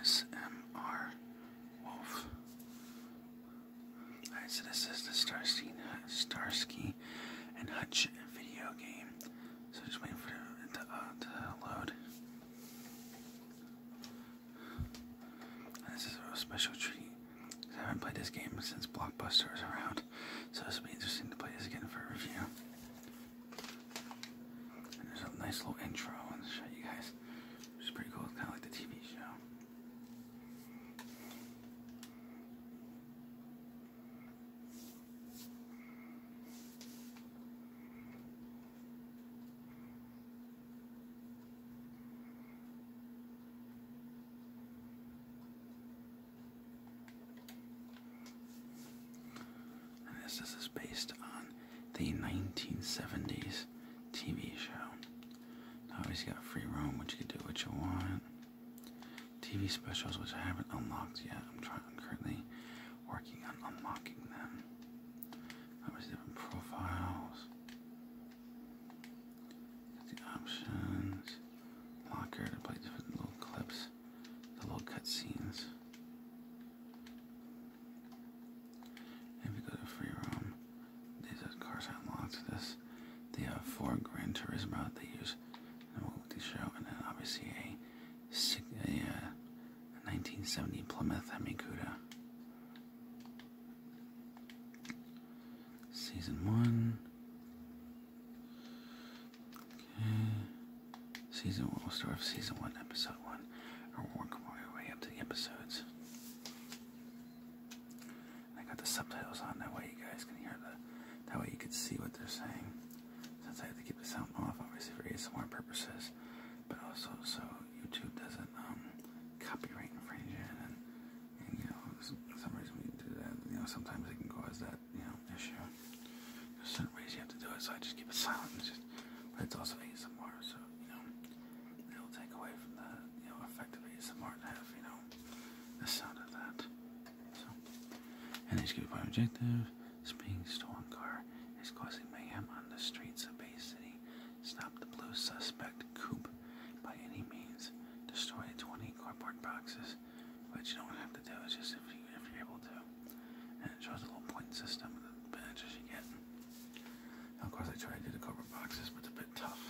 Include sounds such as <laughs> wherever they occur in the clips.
ASMR Wolf. Alright, so this is the Starsky, Starsky and Hutch video game. So just waiting for it to, uh, load. this is a special treat. I haven't played this game since Blockbuster was around, so this will be interesting to play this again for a review. And there's a nice little intro and show you guys. It's pretty cool. It's kind of like the TV show. this, this is based on the 1970s TV show. Always you got free roam, which you can do what you want. TV specials, which I haven't unlocked yet. I'm trying. I'm currently working on unlocking them. Obviously, different profiles. Got the options. Locker to play different little clips, the little cutscenes. If you go to free roam, these are cars unlocked. This, they have uh, four Gran Turismo they use in the show, and then obviously a, a, a uh, 1970 Plymouth Hemi Cuda. Season one. Okay. Season 1 will start with Season 1, Episode 1, and we're working our way up to the episodes. I got the subtitles on, that way you guys can hear the, that way you can see what they're saying. Since I have to keep the sound off, obviously for ASMR purposes, but also so YouTube doesn't um, copyright infringe it, and, you know, for some reason we do that, you know, sometimes it can cause that, you know, issue. There's certain ways you have to do it, so I just keep it silent. It's just, but it's also ASMR, so you know it'll take away from the you know effectively it's of more to have you know the sound of that. So, and escape our objective. Speeding stolen car is causing mayhem on the streets of Bay City. Stop the blue suspect coupe by any means. Destroy 20 cardboard boxes, which you don't have to do. It's just if you if you're able to. And it shows a little point system and the advantages you get. Now, of course, I tried to do the Cobra boxes, but it's a bit tough.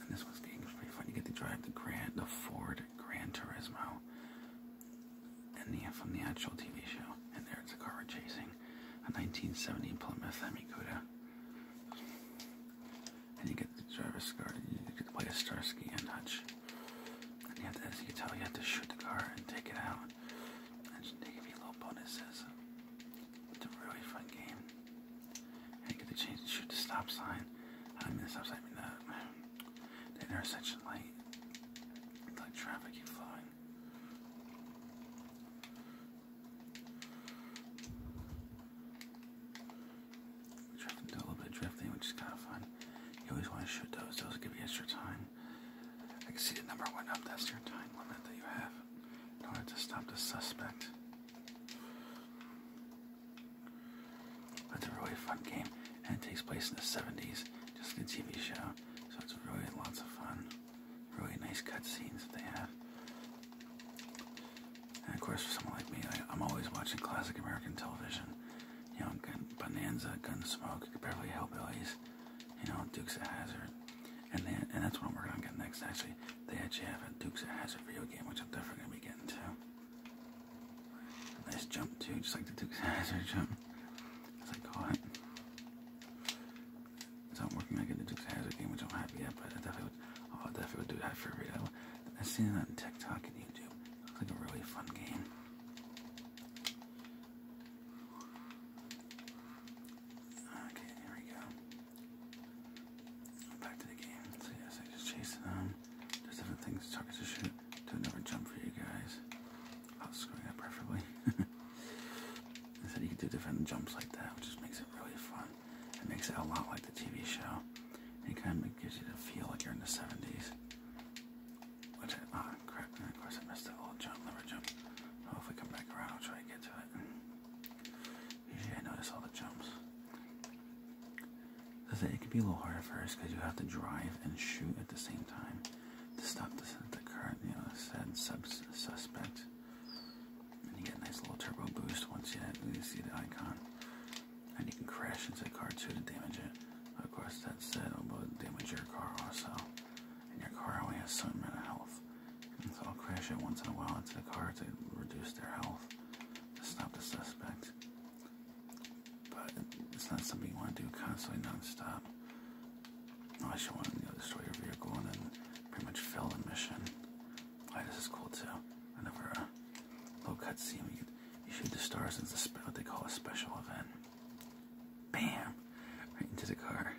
And this one's getting pretty fun. You get to drive the Grand, the Ford Gran Turismo, and the from the actual TV show. And there it's a car we're chasing a 1970 Plymouth Hemi And you get to drive a scar. You get to play a Starsky and Hutch you have to, as you tell, you have to shoot the car and take it out. And they give you little bonuses. It's a really fun game. And you get the chance to shoot the stop sign. I mean the stop sign, I mean are such intersection light. like traffic keep flowing. Drifting, do a little bit of drifting, which is kind of fun. You always want to shoot those. Those give you extra time. I can see the number one up. That's your time limit that you have in order to stop the suspect. It's a really fun game, and it takes place in the 70s, just a TV show. So it's really lots of fun. Really nice cutscenes that they have. And of course, for someone like me, I'm always watching classic American television you know, Gun, Bonanza, Gunsmoke, Beverly Hillbillies, you know, Dukes of Hazard, and then and that's what I'm working on getting next. Actually, they actually have a Dukes of Hazard video game, which I'm definitely gonna be getting to. Nice jump too, just like the Dukes of Hazard jump, as oh, I call it. So I'm working on getting the Dukes of Hazard game, which I'm happy yet, but I definitely, would, oh, I definitely would do that for a video. I've seen it on TikTok and YouTube. It looks like a really fun game. Okay, there we go. Back to the game. So yes, I just chased them. There's different things, targets to shoot. Do another jump for you guys. I'll screw that preferably. <laughs> I said you can do different jumps like that, which just makes it really fun. It makes it a lot like the TV show. It kind of gives you the feel like you're in the 70s, which on and of course I missed the old jump, lever jump. Well, come back around, I'll try to get to it. Usually I notice all the jumps. It says can be a little hard at first because you have to drive and shoot at the same time to stop the, the current, you know, said subs suspect. And you get a nice little turbo boost once you, you see the icon. And you can crash into the car too to damage it. Of course, that said, it'll both damage your car also. And your car only has some amount of health. so I'll crash it once in a while into the car to reduce their health to stop the suspect. But it's not something you want to do constantly non-stop. Unless you want to destroy your vehicle and then pretty much fail the mission. this is cool too. Another uh, low cutscene. You, you shoot the stars. It's what they call a special event. Bam! Right into the car.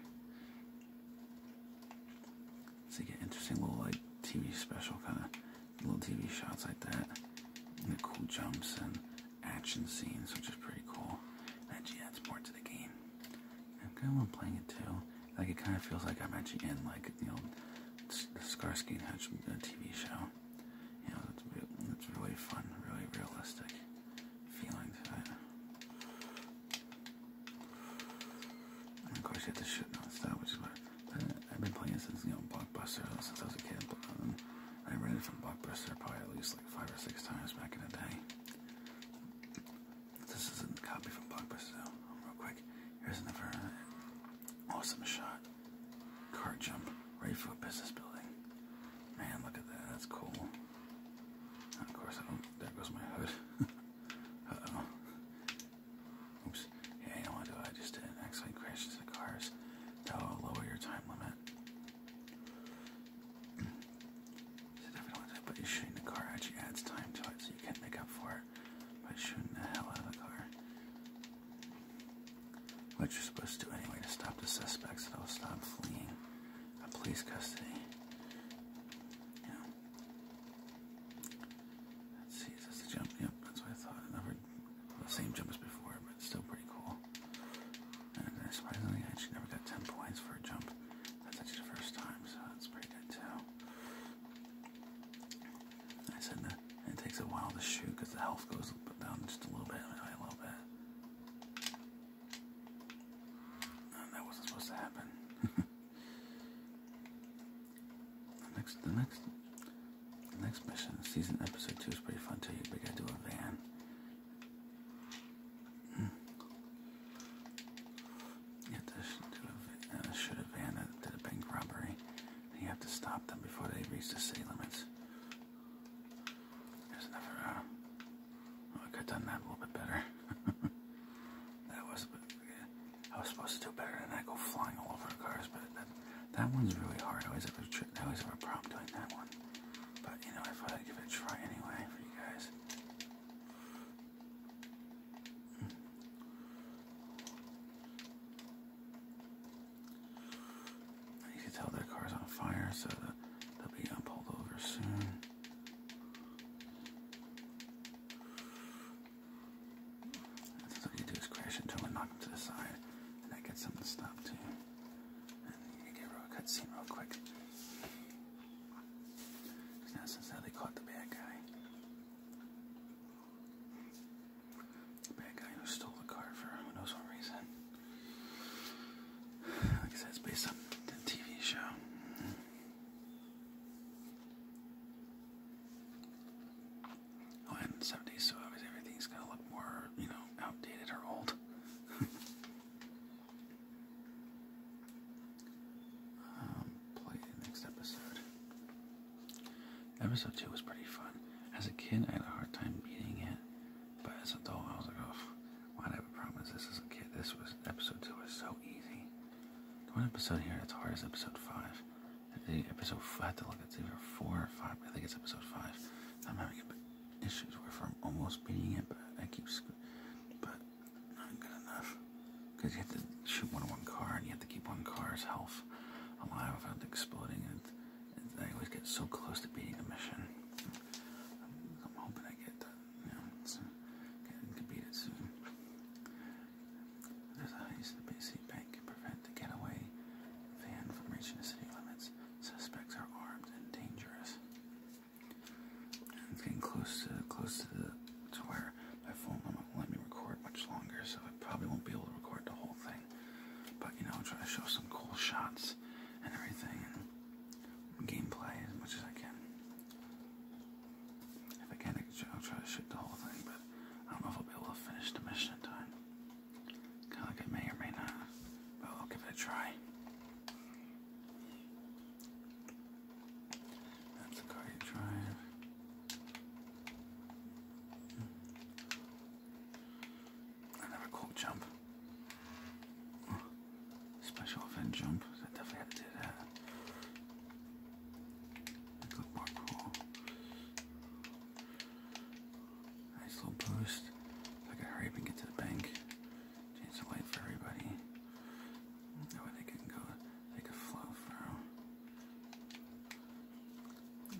So you get interesting little like TV special kind of little TV shots like that. And the cool jumps and action scenes, which is pretty cool. That actually adds more to the game. I'm kind of playing it too. Like it kind of feels like I'm actually in like you know the Skarsgård Hutch uh, TV show you know, it's, it's really fun, really realistic feeling to And of course, you have to shoot nonstop, which is what I've been playing since, you know, Blockbuster since I was a kid. But, um, I read it from Blockbuster probably at least like five or six times back in the day. This isn't a copy from Blockbuster, though. Real quick, here's another uh, awesome shot. Car jump, right for a business building. Man, look at that, that's cool. And of course, I don't, there goes my hood. <laughs> Uh-oh. Oops. Yeah, you know what, I just did an accident crash the cars. That'll lower your time limit. but shooting the car actually adds time to it, so you can't make up for it by shooting the hell out of the car. What you're supposed to do anyway to stop the suspects that will stop fleeing police custody. Yeah. Let's see, is a jump? Yep, that's what I thought. Another same jump as before, but still pretty cool. And then uh, surprisingly, I never got 10 points for a jump. That's actually the first time, so that's pretty good too. I it takes a while to shoot because the health goes down just a little bit, a little bit. that wasn't supposed to happen. <laughs> next, the next, the next mission, season episode two is pretty fun too. We gotta a van. Hmm. You have to do a, uh, van that a bank robbery. you have to stop them before they reach the city limits. There's another, uh, oh, I done that a little bit better. <laughs> that was, yeah, I was supposed to do better than that, go flying all over cars, but that, one's really hard. I always have a problem doing that one. But, you know, I thought I'd give it a try anyway for you guys. Hmm. You can tell their car's on fire, so they'll be pulled over soon. all you do is crash into him knock him to the side, and that gets him to stop too. And you get a cutscene real quick. Now, since they caught the bad guy. Bad guy who stole the car for who knows what reason. Like I said, it's based on the TV show. Oh, and 70s, everything's gonna look more, you know, outdated or old. <laughs> Um, play next episode. Episode 2 was pretty fun. As a kid, I had a hard time beating it, but as an adult, I was like, oh, why did I have promise this as a kid? This was, episode 2 was so easy. one episode here that's hard is episode 5. The episode, I have to look, it's either 4 or 5, I think it's episode 5. I'm having issues with I'm almost beating it, but I keep, but not good enough. Because you have to shoot one on one car, and you have to keep one car's health alive without exploding it. I always get so close to beating a mission. I'm, hoping I get that. You know, so I completed soon. There's a heist at the BC Bank can prevent the getaway van from reaching the city limits. Suspects are armed and dangerous. And it's getting close to close to the to where my phone won't let me record much longer, so I probably won't be able to record the whole thing but you know, try to show some cool shots and everything and gameplay as much as I can. If I can, I'll try to shoot the whole thing, but I don't know if I'll be able to finish the mission in time. Kind of like may or may not, but I'll give it a try. That's a car drive. Hmm. Another cork jump. Special event jump. I definitely had to do that. Good work roll. Nice little boost. If I could hurry up and get to the bank. Change the wait for everybody. That way they can go, they could flow through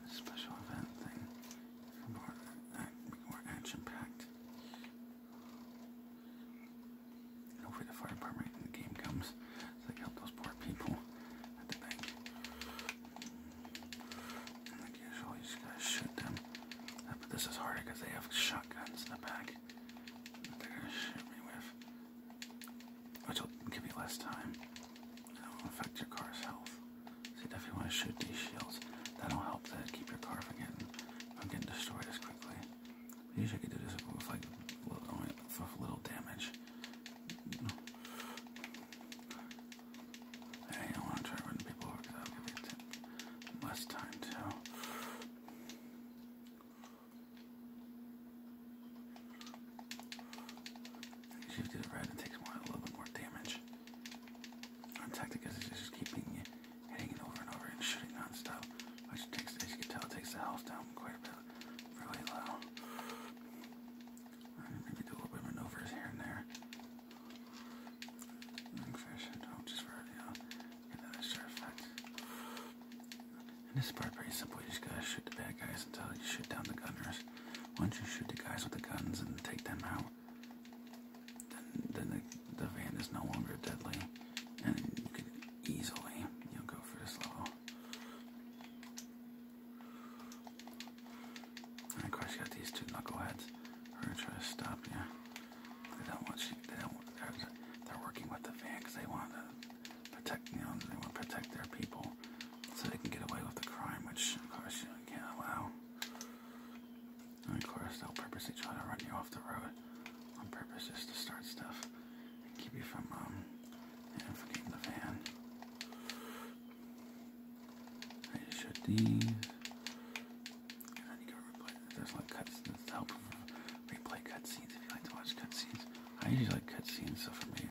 special event thing. More, more action-packed. hopefully the fire department in the game comes so they can help those poor people at the bank. And you just gotta shoot them. Uh, but this is harder because they have shotguns in the back they're gonna shoot me with which will give you less time. That will affect your car's health. So definitely want to shoot these shields. That'll help that keep your car from getting from getting destroyed as quickly. Usually I could do this with like little, with little I want to try running people because that'll give me less time too. She to red and takes more, a little bit more damage. Our tactic is just keeping hitting over and over and shooting non-stop, which takes, as you can tell, takes the health down quite a bit, really low. maybe do a little bit of maneuvers here and there. Fish, oh, just for, you know, get effect. this part pretty simple, you just gotta shoot the bad guys until you shoot down the gunners. Why don't you shoot the guys with the guns and take them out? Then, the, the van is no longer deadly, and you can easily, you know, go for this level. And of course, you got these two knuckleheads we are going to try to stop you. They don't want you. They don't. They're, working with the van because they want to protect. You know, they want to protect their people so they can get away with the crime, which of course you can't allow. And of course, they'll purposely try to run you off the road on purpose just to start stuff and keep you from, um, and from getting the van. I just shut these, and then you can replay. There's like cuts to help replay cutscenes if you like to watch cutscenes. I usually like cutscenes, so for me.